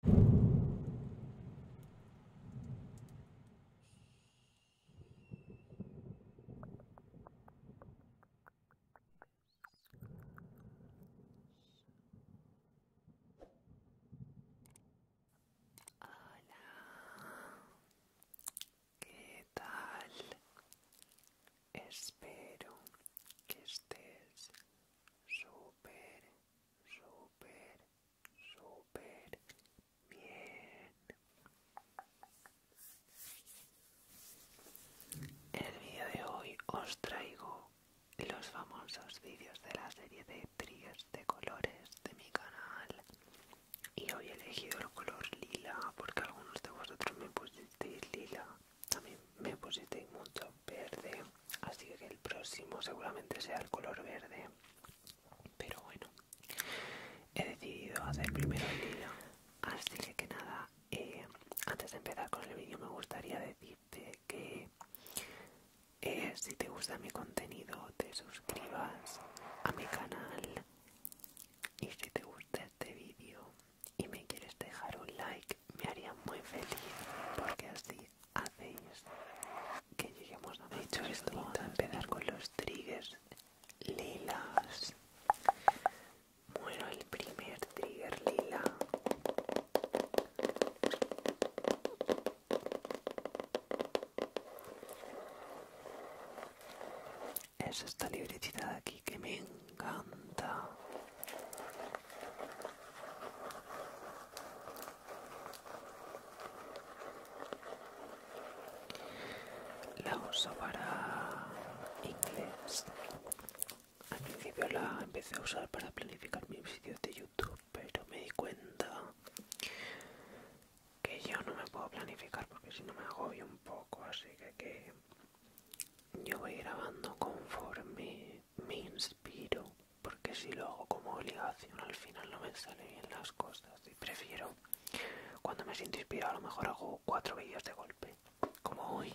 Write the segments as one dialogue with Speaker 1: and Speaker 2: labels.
Speaker 1: Hola, ¿qué tal? Espero que estés súper súper, súper bien. En el vídeo de hoy os traigo los famosos vídeos de la serie de tríos de colores de mi canal y hoy he elegido el color lila porque algunos de vosotros me pusisteis lila, también me pusisteis mucho verde así que el próximo seguramente sea el color verde pero bueno he decidido hacer primero el día. así que, nada eh, antes de empezar con el vídeo me gustaría decirte que eh, si te gusta mi contenido te suscribas a mi canal y si te gusta este vídeo y me quieres dejar un like me haría muy feliz porque así hacéis que lleguemos a dicho esto vamos a empezar con los triggers lilas bueno el primer trigger lila es esta libretita de aquí que me encanta la uso para inglés. Al principio la empecé a usar para planificar mis vídeos de YouTube, pero me di cuenta que yo no me puedo planificar porque si no me agobio un poco, así que, que yo voy grabando conforme me inspiro, porque si lo hago como obligación al final no me salen bien las cosas y prefiero cuando me siento inspirado a lo mejor hago cuatro vídeos de golpe, como hoy.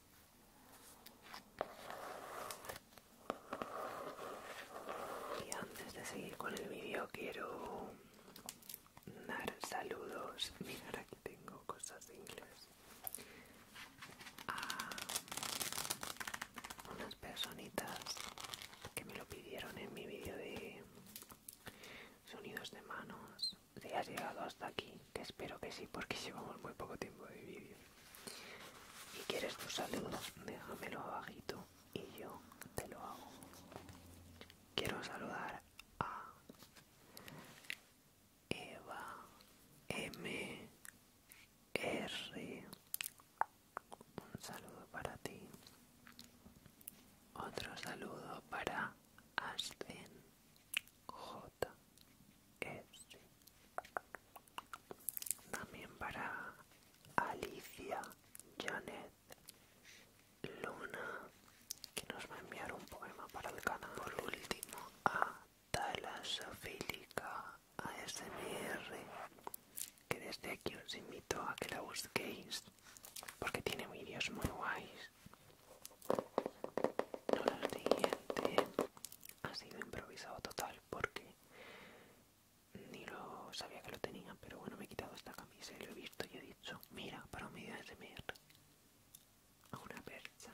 Speaker 1: Y antes de seguir con el vídeo quiero dar saludos. Mirar aquí tengo cosas de inglés. A unas personitas que me lo pidieron en mi vídeo de sonidos de manos. Si has llegado hasta aquí, que espero que sí porque llevamos muy poco tiempo de vídeo y quieres tu saludo, déjamelo abajito y yo te lo hago. Quiero saludar a Eva M R. Un saludo para ti. Otro saludo para Aspen J. También para Alicia, Janet, Luna, que nos va a enviar un poema para el canal. Por último, a Talasofílica ASMR, que desde aquí os invito a que la busquéis, porque tiene vídeos muy guays. No, la siguiente eh, eh, ha sido improvisado total porque ni lo sabía que lo tenían pero bueno, me he quitado esta camisa y lo he visto y he dicho, mira, para un video de a una percha.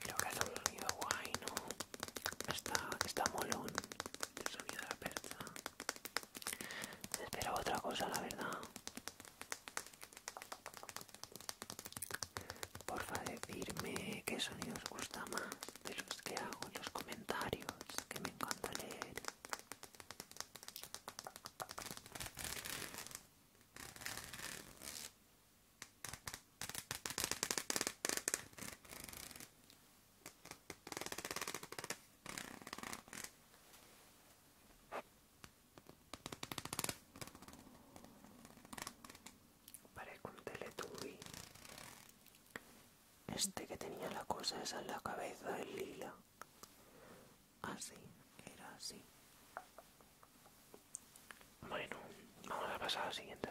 Speaker 1: Creo que es un sonido guay, ¿no? Está, molón el este sonido de la percha. Esperaba otra cosa, la verdad. Porfa, decirme qué sonido os gusta más de los que hago en los comentarios, que me encanta leer. Parece un teletubi. Este que tenía la cosa esa en la cabeza, del lila. Así, era así. Bueno, vamos a pasar la siguiente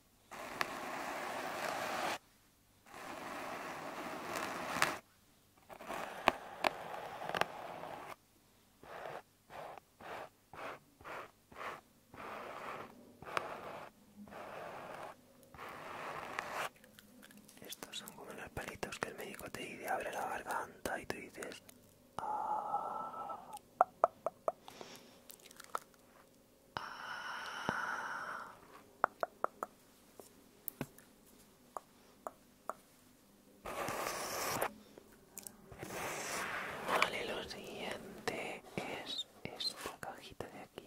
Speaker 1: Estos son como los palitos que el médico te dice, abre la garganta y tú dices... Ah". Vale, lo siguiente es esta cajita de aquí.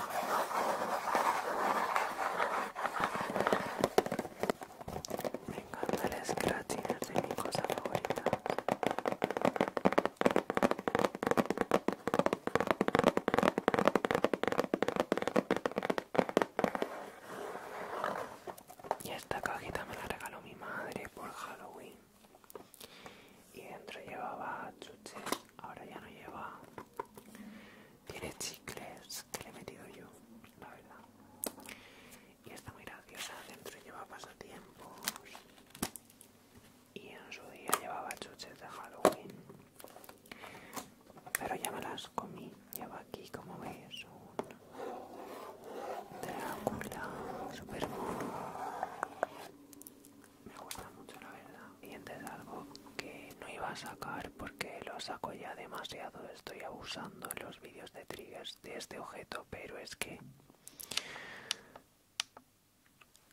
Speaker 1: Me encanta el scratch de mi cosa favorita. Y esta cajita me la regaló mi madre por Halloween y dentro llevaba chuches. ahora ya no lleva. Tiene chicles que le he metido yo, la verdad. Y está muy graciosa, dentro lleva pasatiempos. Y en su día llevaba chuches de Halloween. Pero ya me las comí. Lleva aquí, como veis, un Drácula, super me gusta mucho la verdad y antes algo que no iba a sacar porque lo saco ya demasiado estoy abusando en los vídeos de triggers de este objeto pero es que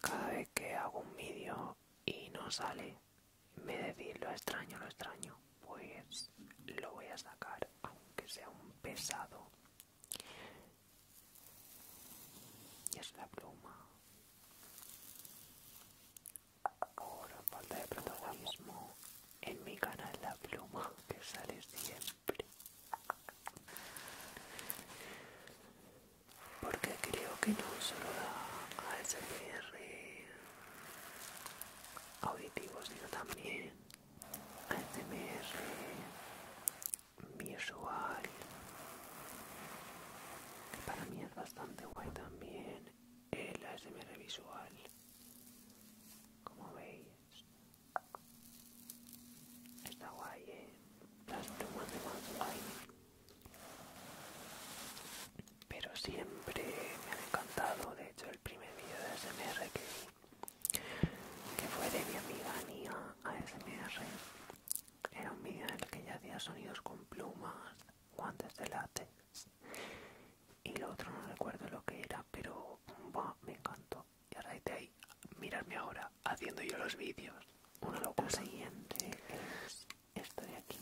Speaker 1: cada vez que hago un vídeo y no sale me decís lo extraño lo extraño pues lo voy a sacar aunque sea un pesado y es la pluma Ahora falta de protagonismo en mi canal La Pluma que sale siempre. Porque creo que no solo da ASMR auditivos, sino también ASMR visual que para mí es bastante guay también el ASMR visual como veis está guay ¿eh? las plumas de más guay pero siempre me han encantado de hecho el primer vídeo de ASMR que vi que fue de mi amiga Nia ASMR era un el que ya hacía sonidos con plumas, guantes de látex. Y lo otro no recuerdo lo que era, pero me encantó. Y ahora de ahí, mirarme ahora haciendo yo los vídeos. Uno locura. Lo siguiente es esto de aquí,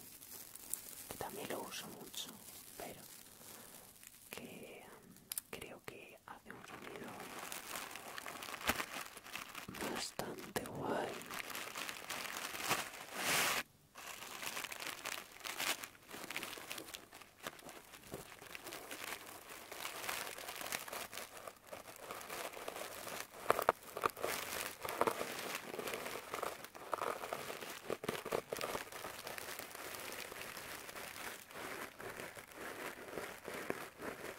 Speaker 1: que también lo uso mucho, pero que mm, creo que hace un sonido bastante guay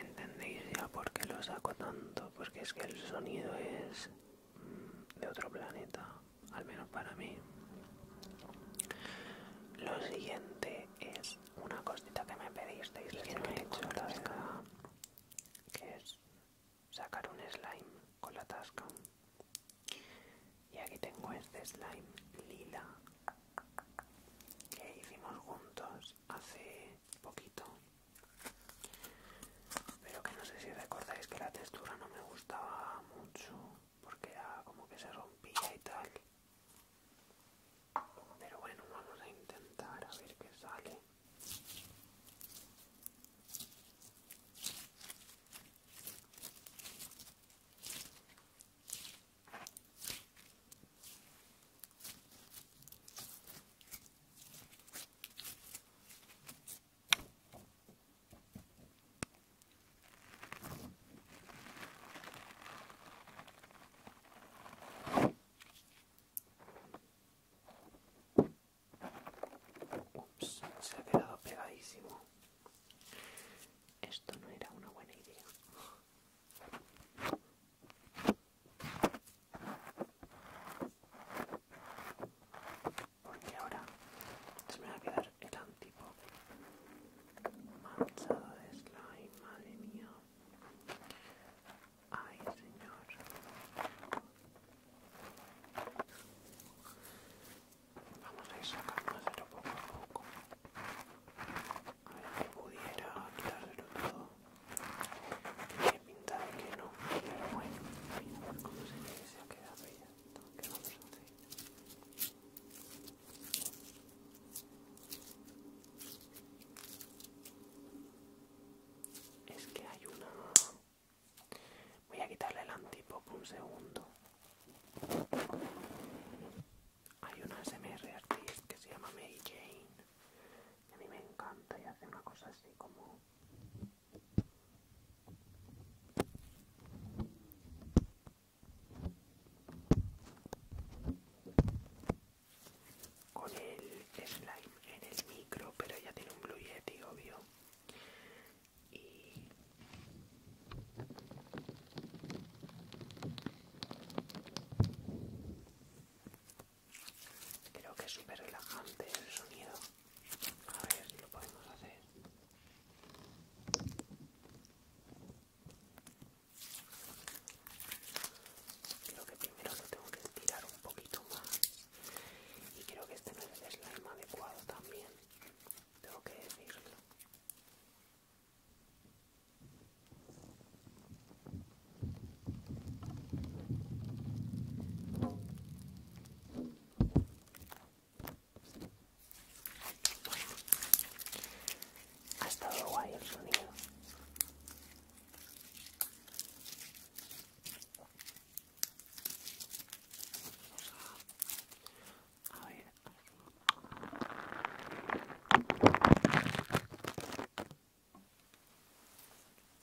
Speaker 1: ¿Entendéis ya por qué lo saco tanto? Porque es que el sonido es de otro planeta, al menos para mí. Lo siguiente es una cosita que me pedisteis que no he hecho la verdad, que es sacar un slime con la tasca. Y aquí tengo este slime lila que hicimos juntos hace poquito pero que no sé si recordáis que la textura no me gustaba mucho porque era como que se rompía y tal. Pero bueno, vamos a intentar a ver qué sale. Ups, se ha quedado pegadísimo. Esto no era una buena idea. Porque ahora se me va a quedar el antipo manchado de slime, madre mía. Ay, señor. Vamos a ir sacando poco a poco. A ver si pudiera quitárselo todo pinta de que no, pero bueno, mira cómo se ve que se ha quedado ya, todo quedando Es que hay una... Voy a quitarle el antipop un segundo. Hay una SMR artist que se llama Mary Jane. a mí me encanta y hace una cosa así como con el slime en el micro pero ya tiene un blue yeti obvio Creo que es súper relajante el sonido. A ver si lo podemos hacer. Creo que primero lo tengo que estirar un poquito más. Y creo que este no es el slime adecuado también. Tengo que decirlo. Bueno, ha estado guay el sonido.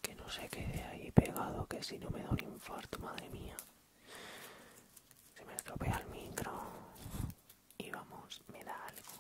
Speaker 1: Que no se quede ahí pegado, que si no me da un infarto, madre mía. Se me estropea el micro. Y vamos, me da algo.